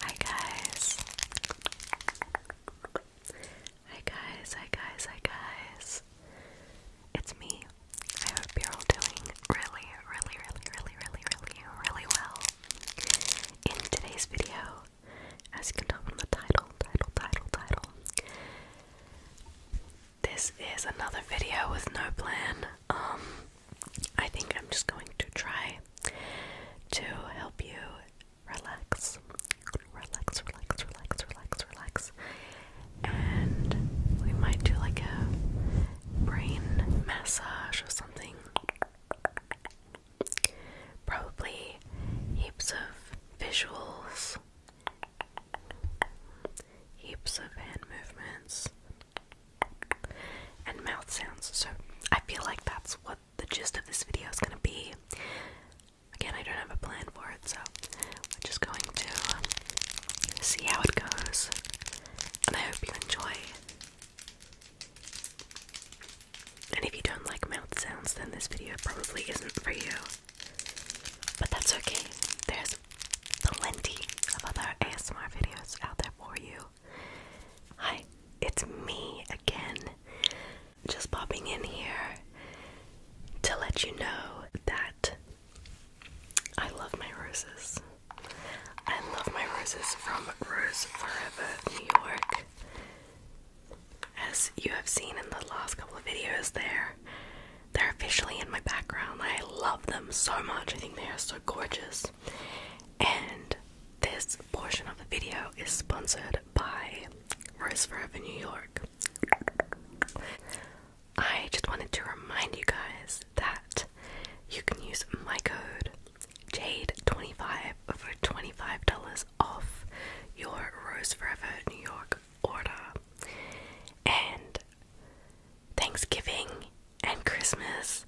Hi guys. Hi guys, hi guys, hi guys. It's me. I hope you doing really, really, really, really, really, really, really well. In today's video, as you can tell from the title, title, title, title, this is another video with no plan. Um, I think I'm just going to try to help you relax, relax, relax, relax, relax, relax, and we might do like a brain massage or something. Probably heaps of visuals heaps of hand movements and mouth sounds. So I feel like that's what the gist of this video is going to be. Again, I don't have a plan for it, so we're just going to see how it goes. And I hope you enjoy. And if you don't like mouth sounds, then this video probably isn't for you. But that's okay. There's plenty of other ASMR videos out there for you. Hi, it's me again. Just popping in here to let you know that I love my roses. I love my roses from Rose Forever New York. As you have seen in the last couple of videos, there they're officially in my background. I love them so much. I think they are so gorgeous. And this portion of the video is sponsored by Rose Forever New York. I just wanted to remind you guys that you can use my code Jade25 for $25 off your Rose Forever New York order. And Thanksgiving and Christmas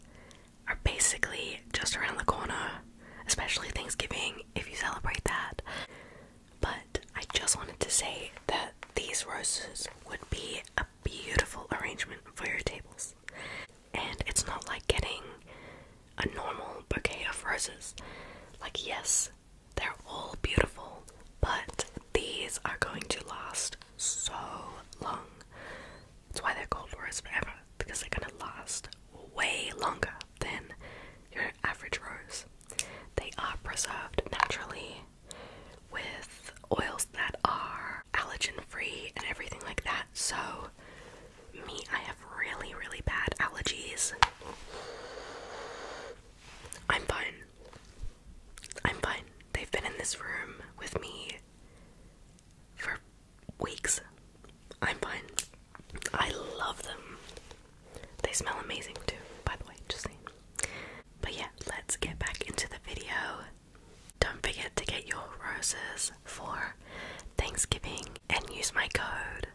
are basically just around the corner, especially Thanksgiving if you celebrate that. But I just wanted to say that these roses would be a beautiful arrangement for your tables. And it's not like getting a normal bouquet of roses. Like, yes, they're all beautiful, but these are going to last so long. That's why they're called roses forever, because they're gonna last way longer than your average rose. They are preserved naturally with oils that are allergen free and everything like that. So, me, I have really, really bad allergies. I'm fine. I'm fine. They've been in this room with me for weeks. I'm fine. I love them. They smell amazing too, by the way, just saying. But yeah, let's get back into the video. Don't forget to get your roses for Thanksgiving and use my code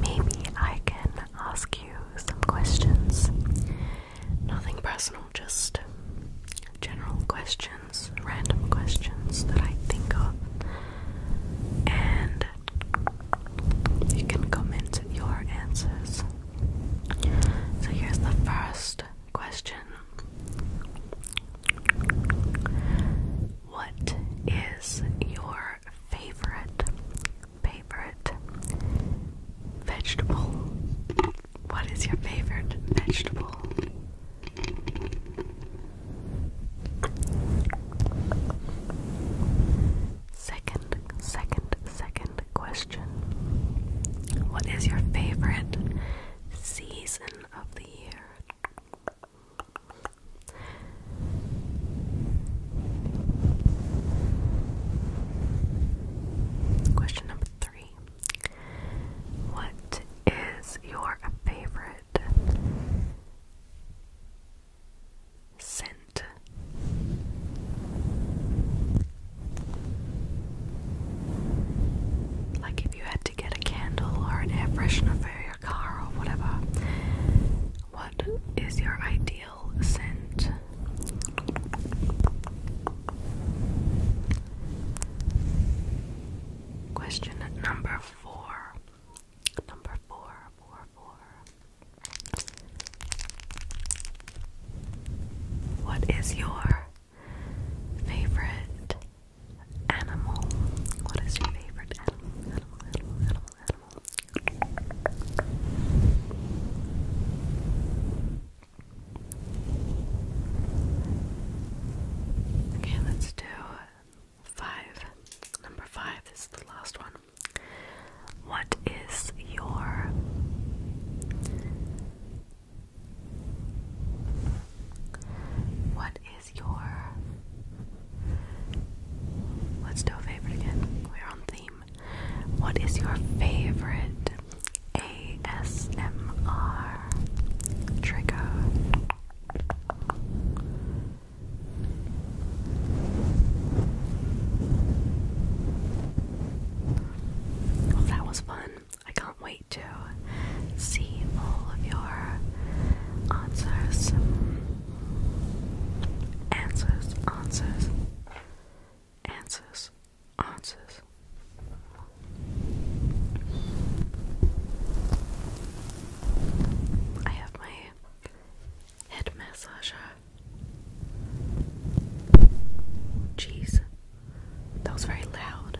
Maybe I can ask you some questions. Nothing personal, just general questions, random questions that I think of. And you can comment your answers. So here's the first question what is your favorite, favorite vegetable? What is your favorite vegetable? Second, second, second question. What is your favorite season of the year? Question number three What is your favorite scent? Like, if you had to get a candle or an air freshener for your car or whatever, what is your ideal scent? Question number four. Number four, four, four. What is your favorite animal? What is your favorite animal? Okay, let's do five. Number five, this is the last one. What is your what is your. Let's do a favorite again. We're on theme. What is your favorite ASMR trigger? Well, that was fun. I can't wait to see all of your answers. Answers, answers, answers, answers. I have my head massager. Jeez, that was very loud.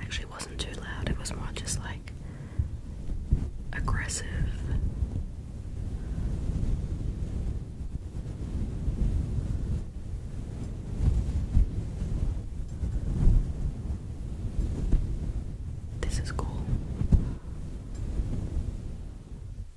Actually, wasn't too loud, it was more just like aggressive. This is cool.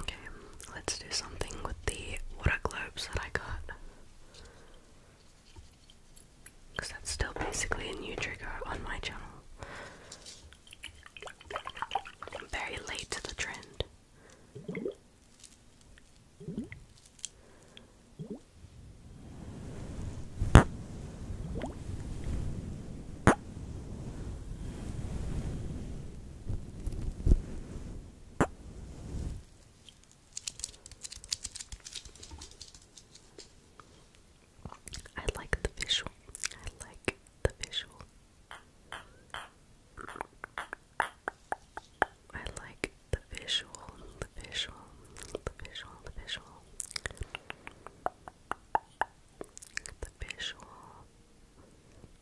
Okay, let's do something with the water globes that I got. Because that's still basically a new trigger on my channel. I'm very late to the trend. I like the visual. I like the visual. I like the visual, the visual, the visual, the visual. The visual,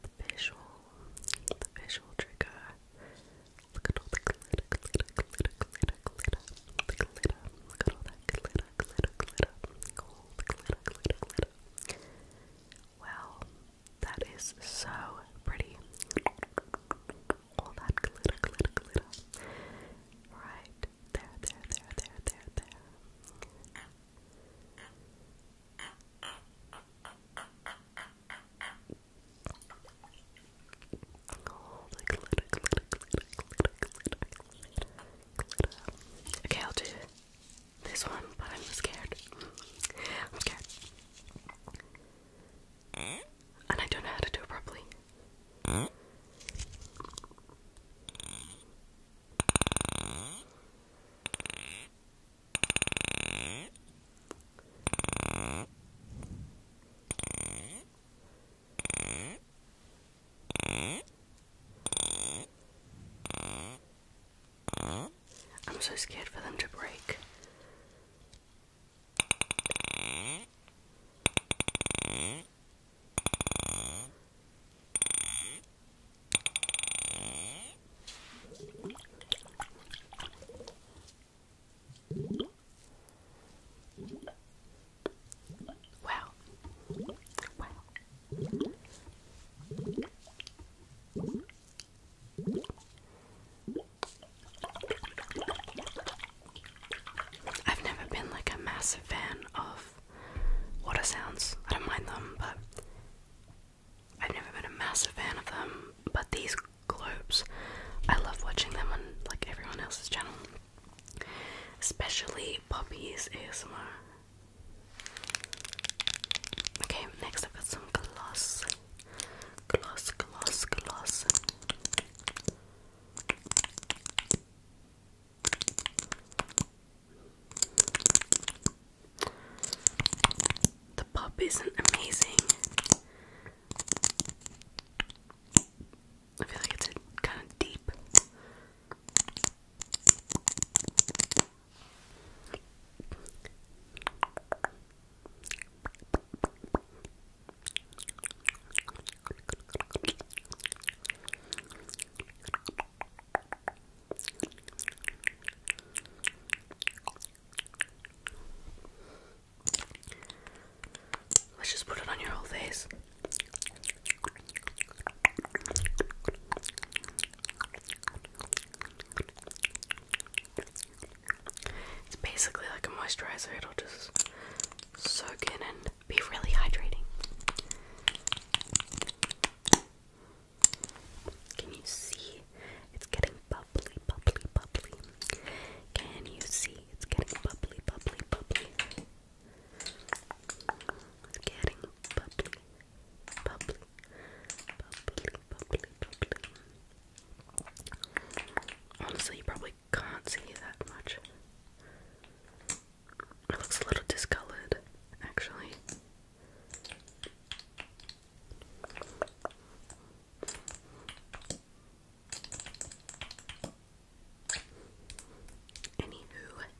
the visual, the visual trigger. Look that is so pretty. All that glitter, glitter, glitter. Right there, there, there, there, there, there. Okay, I'll do this one, but I'm scared. I'm scared. And I don't know how to do it properly. I'm so scared for them to break. Wow. Wow. I've never been like a massive fan of water sounds. I don't mind them, but I've never been a massive fan of them. But these globes, I love watching them on like everyone else's channel, especially Poppy's ASMR. Okay, next I've got some gloss. Gloss, gloss, gloss. The pop isn't amazing. I feel like it's kind of deep. Let's just put it on your whole face. It's basically like a moisturizer, it'll just soak in and be really hydrating. Can you see? It's getting bubbly, bubbly, bubbly. Can you see? It's getting bubbly, bubbly, bubbly. It's getting bubbly, bubbly, bubbly, bubbly, bubbly. Honestly, you probably can't see that much. It looks a little discolored, actually. Anywho,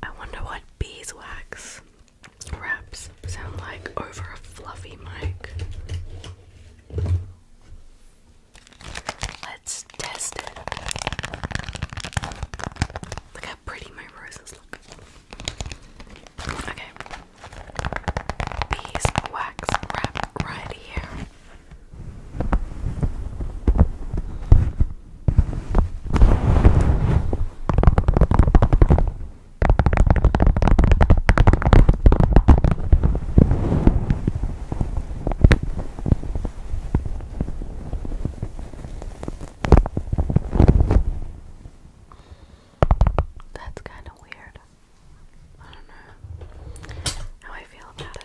I wonder what beeswax wraps sound like over a fluffy mic. Let's test it. Look how pretty my roses look. Okay. Beeswax wrap right here. That's kind of weird. I don't know how I feel about it.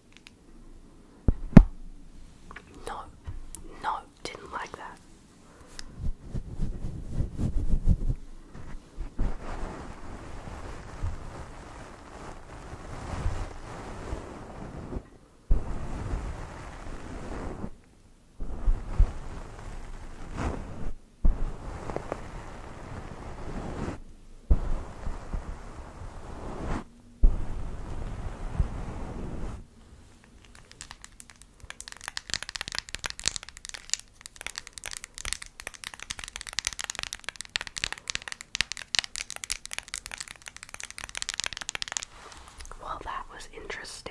No, no, didn't like that. Well, that was interesting.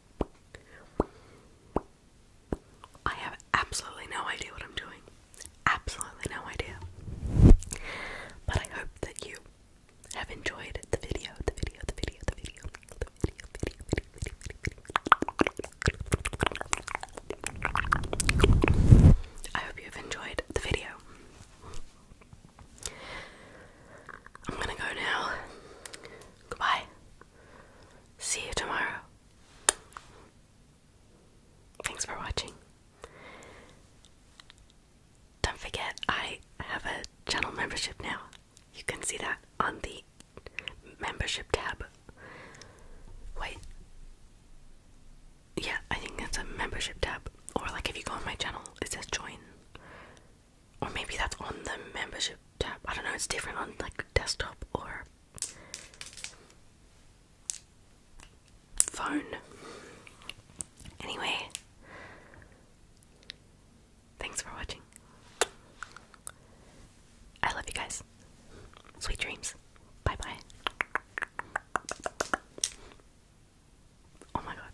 I have absolutely no idea what I'm doing. Absolutely no idea. But I hope that you have enjoyed the video, the video, the video, the video, the video, video, video, video, video, video. I hope you have enjoyed the video. I'm gonna go now. Goodbye. See you tomorrow. Thanks for watching. Don't forget, I have a channel membership now. You can see that on the membership tab. Wait. Yeah, I think that's a membership tab. Or, like, if you go on my channel, it says join or maybe that's on the membership tab. I don't know. It's different on like desktop or phone. Anyway, thanks for watching. I love you guys. Sweet dreams. Bye bye. Oh my god.